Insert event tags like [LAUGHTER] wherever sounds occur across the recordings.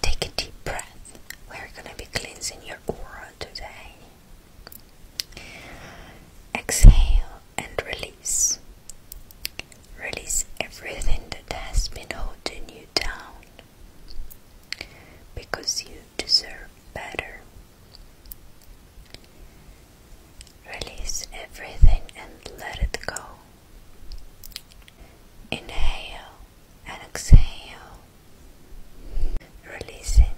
Take a deep breath. We're going to be cleansing your aura today. Exhale and release. Release everything that has been holding you down because you deserve better. Release everything and let it go. Inhale and exhale, releasing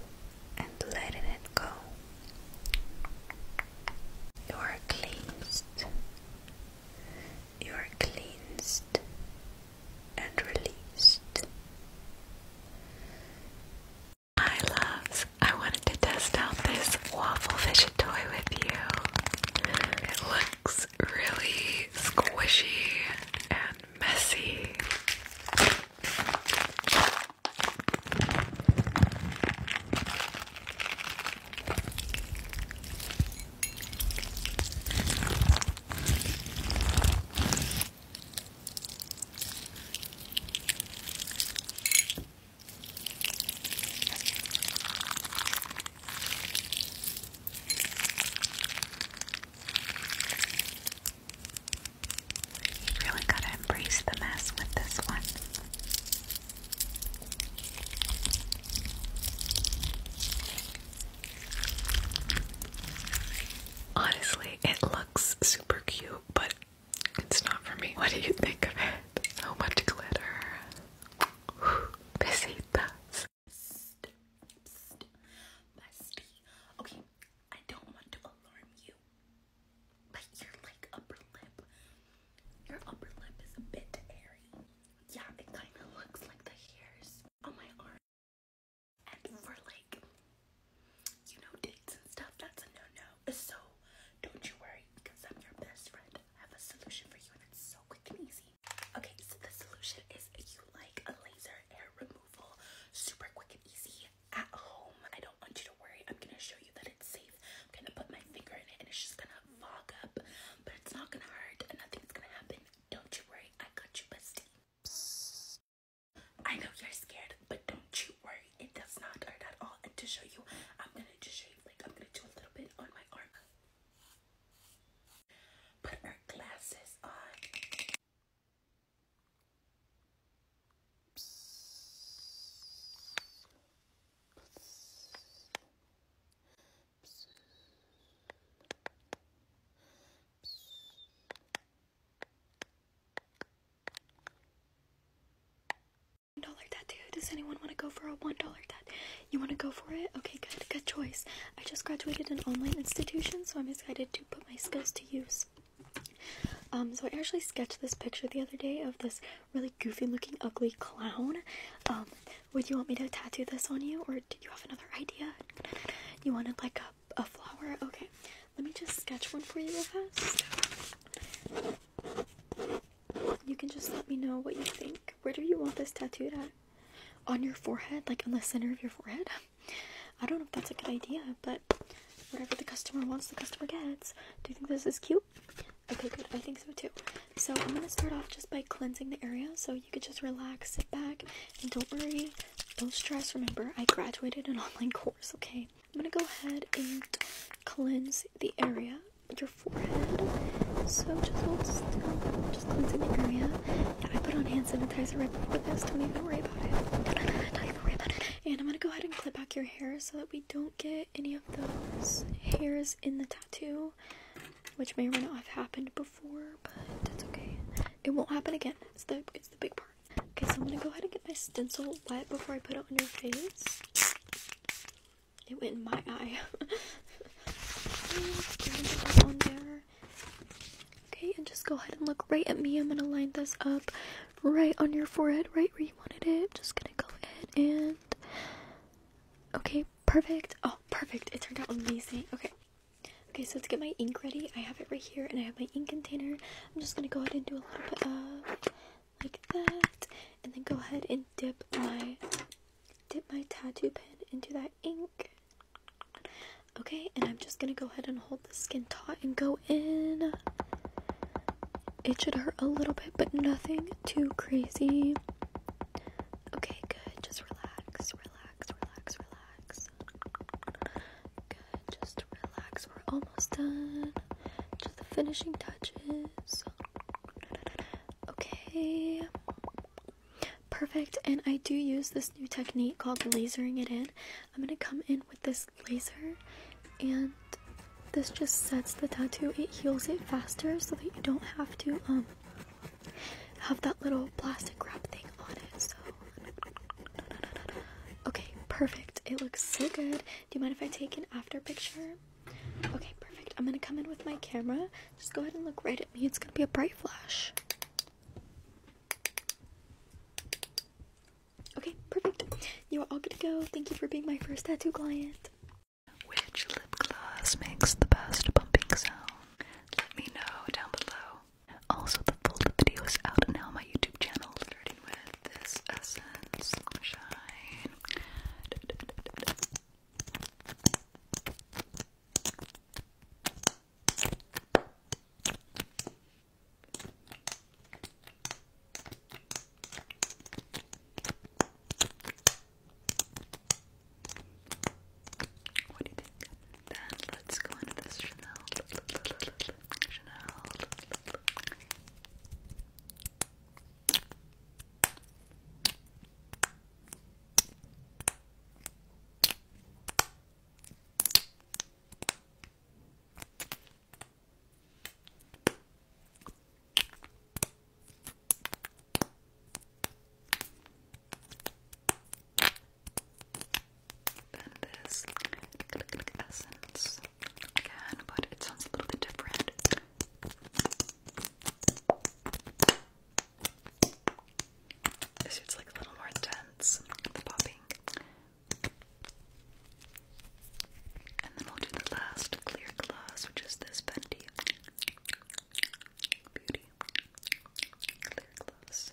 and letting it go. You are cleansed. You are cleansed and released. Hi loves, I wanted to test out this waffle fidget toy with you. It looks really squishy and messy. You really gotta embrace the mess with this one. Honestly, it looks super cute, but it's not for me. What do you think of it? So much glitter. thoughts. Okay, I don't want to alarm you, but your like upper lip, your upper lip is a bit hairy. Yeah, it kind of looks like the hairs on my arm. And for like, you know, dates and stuff, that's a no-no. So don't you worry, because I'm your best friend. I have a solution for you, and it's so quick and easy. Okay, so the solution is you like a laser hair removal, super quick and easy at home. I don't want you to worry. I'm gonna show you that it's safe. I'm gonna put my finger in it and it's just gonna fog up, but it's not gonna hurt and nothing's gonna happen. Don't you worry, I got you, bestie. I know you're scared, but don't you worry, it does not hurt at all. And to show you, I'm gonna just shave, like, I'm gonna do a little bit on my arm. Put our glasses on. $1 tattoo. Does anyone want to go for a $1 tattoo? You want to go for it? Okay, good. Good choice. I just graduated an online institution, so I'm excited to put my skills to use. Um, so I actually sketched this picture the other day of this really goofy looking ugly clown. Um, would you want me to tattoo this on you or did you have another idea? You wanted like a flower? Okay, let me just sketch one for you real fast. You can just let me know what you think. Where do you want this tattooed at? on your forehead, like on the center of your forehead. [LAUGHS] I don't know if that's a good idea, but whatever the customer wants, the customer gets. Do you think this is cute? Okay, good. I think so too. So I'm gonna start off just by cleansing the area, so you could just relax, sit back, and don't worry, don't stress. Remember, I graduated an [LAUGHS] online course. Okay, I'm gonna go ahead and cleanse the area, your forehead. So just hold still. Just cleanse the area. And I put on hand sanitizer right before this. Don't even worry about it. Don't even worry about it. And I'm gonna go ahead and clip back your hair so that we don't get any of those hairs in the tattoo, which may or may not have happened before, but that's okay. It won't happen again. It's the it's the big part. Okay, so I'm gonna go ahead and get my stencil wet before I put it on your face. It went in my eye. [LAUGHS] on there. Okay, and just go ahead and look right at me. I'm gonna line this up right on your forehead, right where you wanted it. Just gonna go ahead and. Okay, perfect. Oh, perfect. It turned out amazing. Okay. Okay, so let's get my ink ready. I have it right here, and I have my ink container. I'm just gonna go ahead and do a little bit of like that, and then go ahead and dip my dip my tattoo pen into that ink. Okay, and I'm just gonna go ahead and hold the skin taut and go in. It should hurt a little bit, but nothing too crazy. Okay, good. Just relax, relax, relax, relax. Good, just relax. We're almost done. Just the finishing touches. Okay. Perfect, and I do use this new technique called lasering it in. I'm gonna come in with this laser, and this just sets the tattoo, it heals it faster so that you don't have to um have that little plastic wrap thing on it. So, okay, perfect. It looks so good. Do you mind if I take an after picture? Okay, perfect. I'm gonna come in with my camera. Just go ahead and look right at me. It's gonna be a bright flash. Okay, perfect. You are all good to go. Thank you for being my first tattoo client. Which lip gloss makes the best bumping sound? Let me know down below. Also, the full video is out now my YouTube channel, starting with this Essence Shine. What do you think? Then let's go into this Chanel. Chanel. And this essence again, but it sounds a little bit different. This suit's like a little more intense, the popping. And then we'll do the last clear gloss, which is this Fenty Beauty Clear Gloss.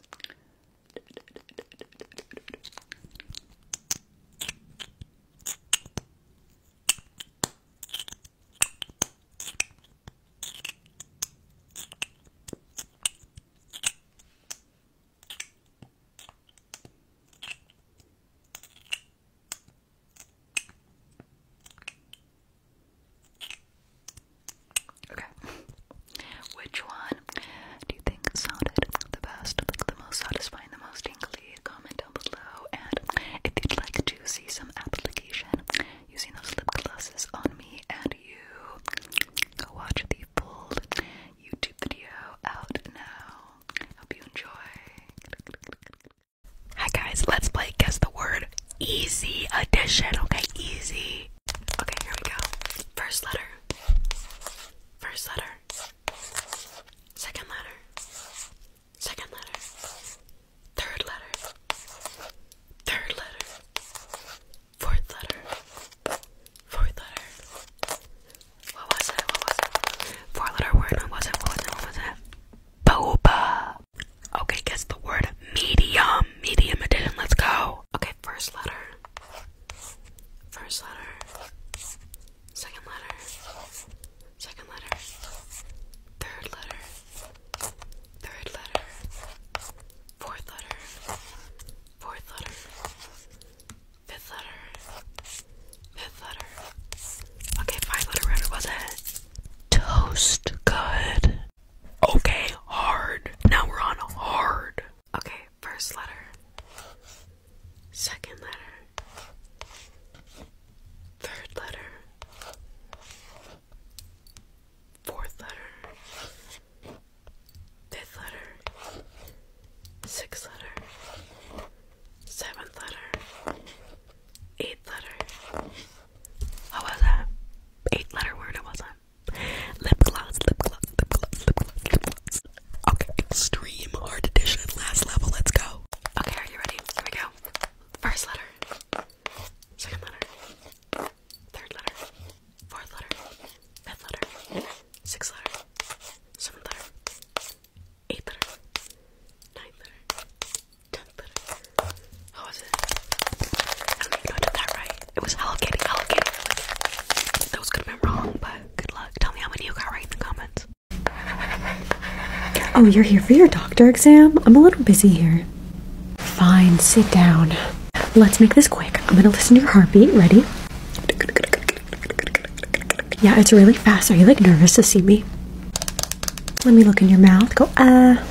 Okay. Which one do you think sounded the best, like the most satisfying, the most tingly? Comment down below. And if you'd like to see some application using those lip glosses on me, and you go watch the full YouTube video out now. Hope you enjoy. Hi guys, let's play guess the word easy addition. Okay, easy. Okay, here we go. First letter. First letter. Second letter. Second letter. Third letter. Third letter. Fourth letter. Fourth letter. What was it? What was it? Four letter word. What was it? What was it? What was it? Boba. Okay, guess the word medium. Medium edition. Let's go. Okay, first letter. First letter. Second letter. Second letter. Third letter. Third letter. Fourth letter. Fourth letter. Fifth letter. Fifth letter. Okay, five letter word was it? Toast. Good. Okay, hard. Now we're on hard. Okay, first letter. Second letter. Third letter fourth letter, fifth letter, sixth letter, seventh letter, eighth letter. What was that? Eight letter word, what was that? Lip gloss, lip gloss, lip gloss, lip gloss, lip gloss. Okay, extreme art edition, last level, let's go. Okay, are you ready? Here we go. First letter, second letter, third letter, Fourth letter. Fifth letter. Sixth letter. Seventh letter. Eighth letter. Ninth letter. Tenth letter. What was it? I don't even know I did that right. It was Hello Kitty. Hello That was gonna be wrong, but good luck. Tell me how many you got right in the comments. Oh, you're here for your doctor exam? I'm a little busy here. Fine, sit down. Let's make this quick. I'm gonna listen to your heartbeat. Ready? Yeah, it's really fast. Are you like nervous to see me? Let me look in your mouth. Go, uh.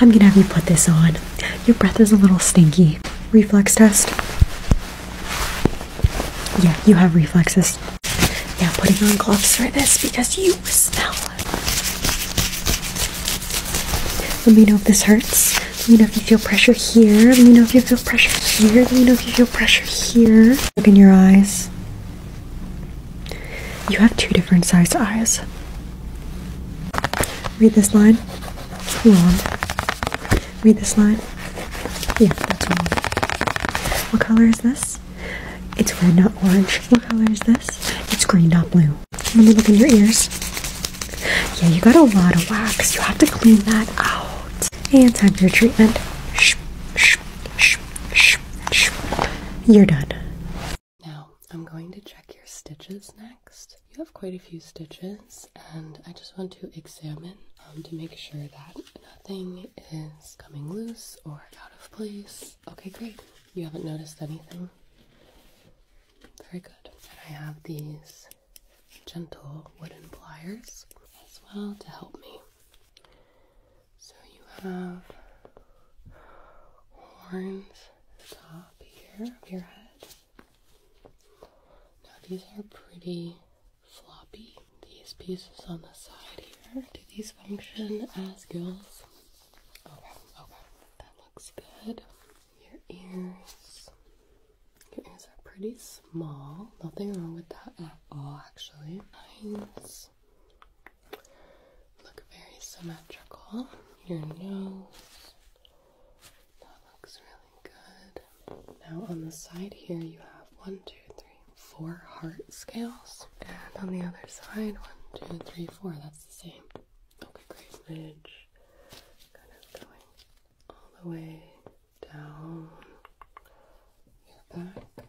I'm gonna have you put this on. Your breath is a little stinky. Reflex test. Yeah, you have reflexes. Now putting on gloves for this because you smell. Let me know if this hurts. Let me know if you feel pressure here. Let me know if you feel pressure here. Let me know if you feel pressure here. Look in your eyes. You have two different sized eyes. Read this line. Wrong. Read this line. Yeah, that's wrong. What color is this? It's red, not orange. What color is this? It's green, not blue. Let me look in your ears. Yeah, you got a lot of wax. You have to clean that out. And time for your treatment. Shh, shh, shh, shh, shh. You're done. Now, I'm going to check your stitches next. You have quite a few stitches, and I just want to examine um, to make sure that nothing is coming loose or out of place. Okay, great. You haven't noticed anything? Very good. And I have these gentle wooden pliers as well to help me. So you have horns at top here your head. Now these are pretty floppy. These pieces on the side here do these function as gills? Okay, okay. That looks good. Your ears. Your ears are pretty small. Nothing wrong with that at all, actually. Eyes look very symmetrical. Your nose. That looks really good. Now on the side here, you have one, two, three, four heart scales, and on the other side, one, two, three, four. That's the same. Okay, great. Ridge, kind of going all the way down your back,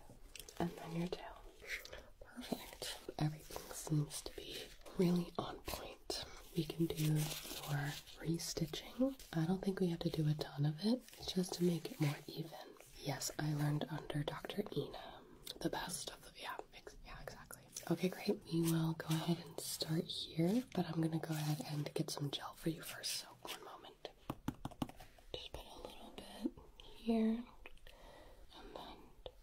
and then your tail. Perfect. Everything seems to be really on point. We can do more restitching. I don't think we have to do a ton of it, just to make it more even. Yes, I learned under Dr. Ina the best of the yeah, yeah, exactly. Okay, great. We will go ahead and start here, but I'm gonna go ahead and get some gel for you first. So one moment. Just put a little bit here, and then.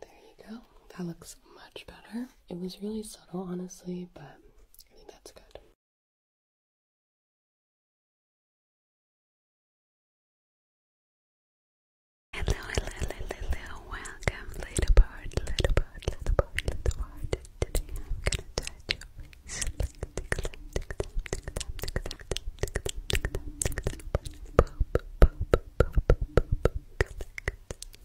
There you go. That looks much better. It was really subtle, honestly, but I think that's good. Hello, hello, hello, hello, welcome, little bird, little bird, little bird, little bird.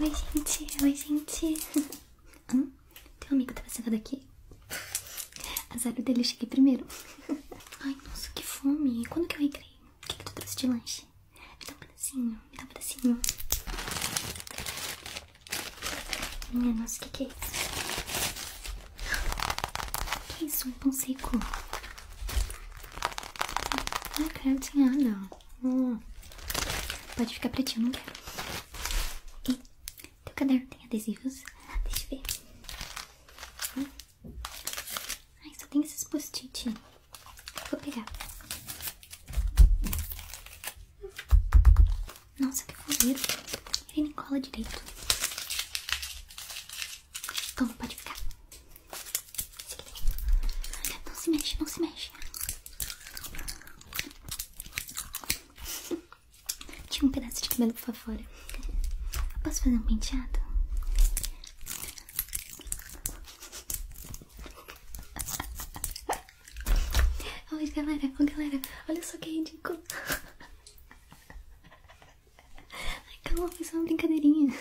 Oi, gente, oi, gente. [LAUGHS] Hum? Teu amigo tava tá sentado aqui? Azar dele, eu cheguei primeiro. [LAUGHS] Ai, nossa, que fome. Quando que eu recreio? O que, tu trouxe de lanche? Me dá um pedacinho, me dá um pedacinho. Minha nossa, o que, que é isso? Que isso? Um pão seco. Ah, cara, não tinha nada. Hum. Pode ficar pretinho, ti quero. E teu caderno tem adesivos? Ah, deixa eu ver. Hum. Ai, só tem esses post-it. Vou pegar. Nossa, que fuleiro. Ele nem cola direito. então pode ficar. Não se mexe, não se mexe. Tinha um pedaço de cabelo pra fora. posso fazer um penteado? [LAUGHS] Oi, galera, oh, galera, olha só que ridículo. [LAUGHS] Ai, calma, foi só uma brincadeirinha. [LAUGHS]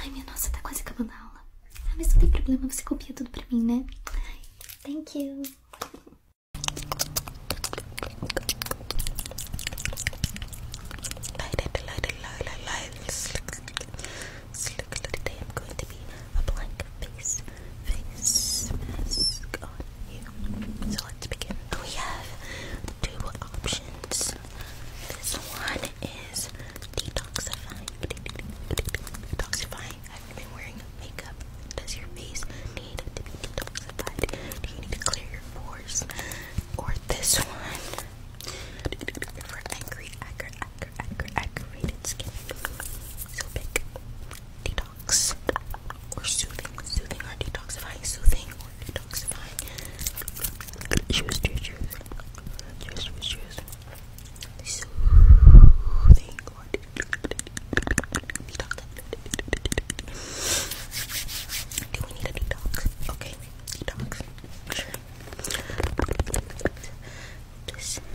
Ai, minha nossa, tá quase acabando a aula. Ah, mas não tem problema, você copia tudo pra mim, né? Ai, thank you. I'm going to be a blank face, face mask on you. So let's begin. We have two options. This one is detoxifying. Detoxifying. Have wearing makeup? Does your face need detoxified? Do you need to clear your pores? Or this one? For angry, angry, angry, angry, aggravated skin. So pick detox or soothing. Soothing or detoxifying. Soothing or detoxifying. Cheers, cheers, cheers. Cheers, cheers, cheers. Soothing. Detox. Do we need a detox? Okay, detox. perfect.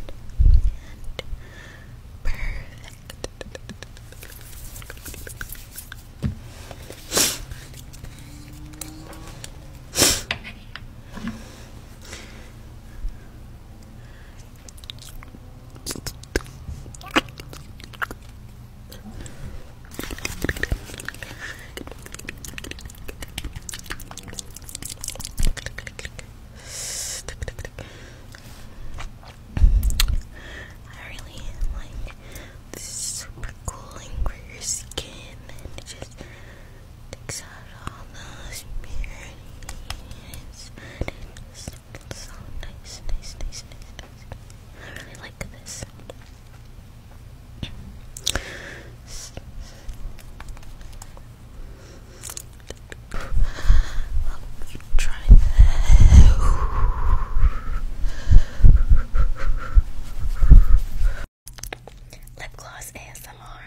I really like this super cooling for your skin Takes out all those impurities. It's so nice, nice, nice, nice, nice. I really like this. I'll try that. Lip gloss ASMR.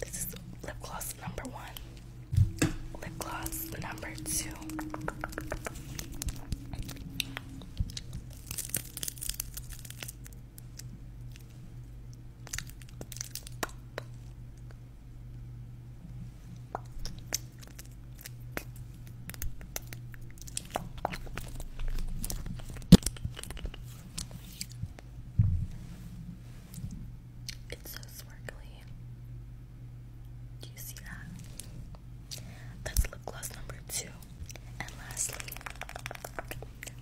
This is lip gloss number one lip gloss number two. It's so sparkly. Do you see that? That's lip gloss number two. And lastly,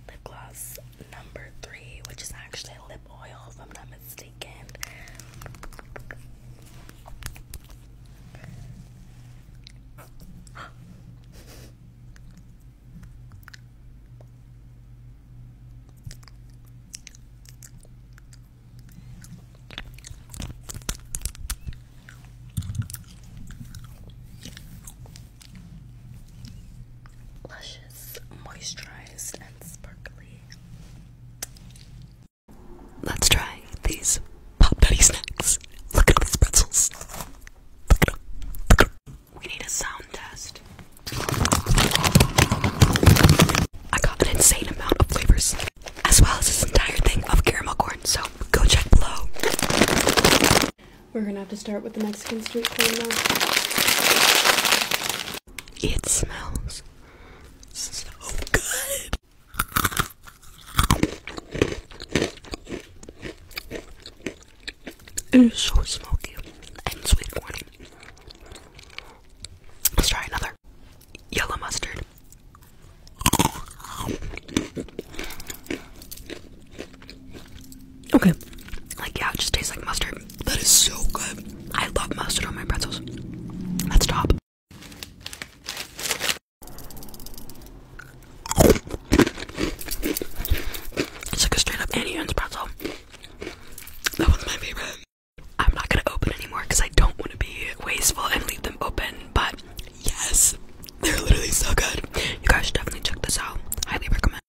lip gloss number three, which is actually a lip oil, if I'm not mistaken. Luscious, moisturized, and sparkly. Let's try these pop nutty snacks. Look at these pretzels. We need a sound test. I got an insane amount of flavors as well as this entire thing of caramel corn. So go check below. We're gonna have to start with the Mexican street corn now. It smells so good. It is so smoky and sweet corn. Let's try another yellow mustard. Okay. Like, yeah, it just tastes like mustard. That is so good. I love mustard on my pretzels. That's top. It's like a straight up Annie Ann's pretzel. That one's my favorite. I'm not gonna open anymore because I don't want to be wasteful and leave them open. But yes, [LAUGHS] they're literally so good. You guys should definitely check this out. Highly recommend.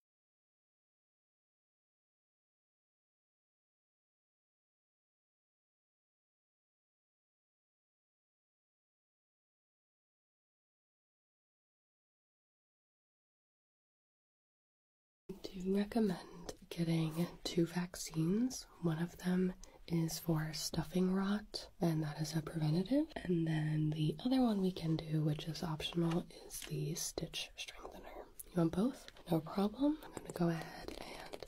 do recommend getting two vaccines one of them is for stuffing rot, and that is a preventative. And then the other one we can do, which is optional, is the stitch strengthener. You want both? No problem. I'm going to go ahead and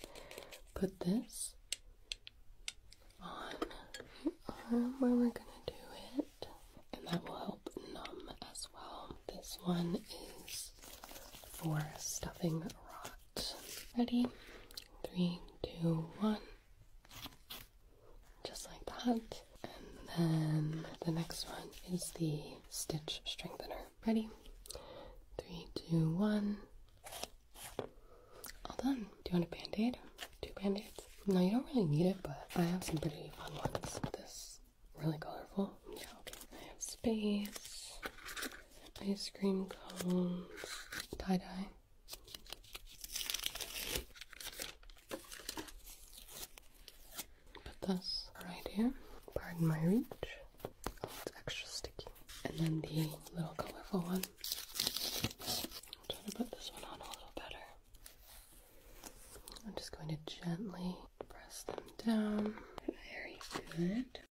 put this on where um, we're going to do it, and that will help numb as well. This one is for stuffing rot. Ready? Three, two, one. Just like that. And then the next one is the stitch strengthener. Ready? Three, two, one. All done. Do you want a band aid? Two band aids? No, you don't really need it, but I have some pretty fun ones. This really colorful. Yeah, I have space ice cream cones, tie dye. Put this right here. Pardon my reach. Oh, it's extra sticky. And then the little colorful one. try to put this one on a little better. I'm just going to gently press them down. Very good.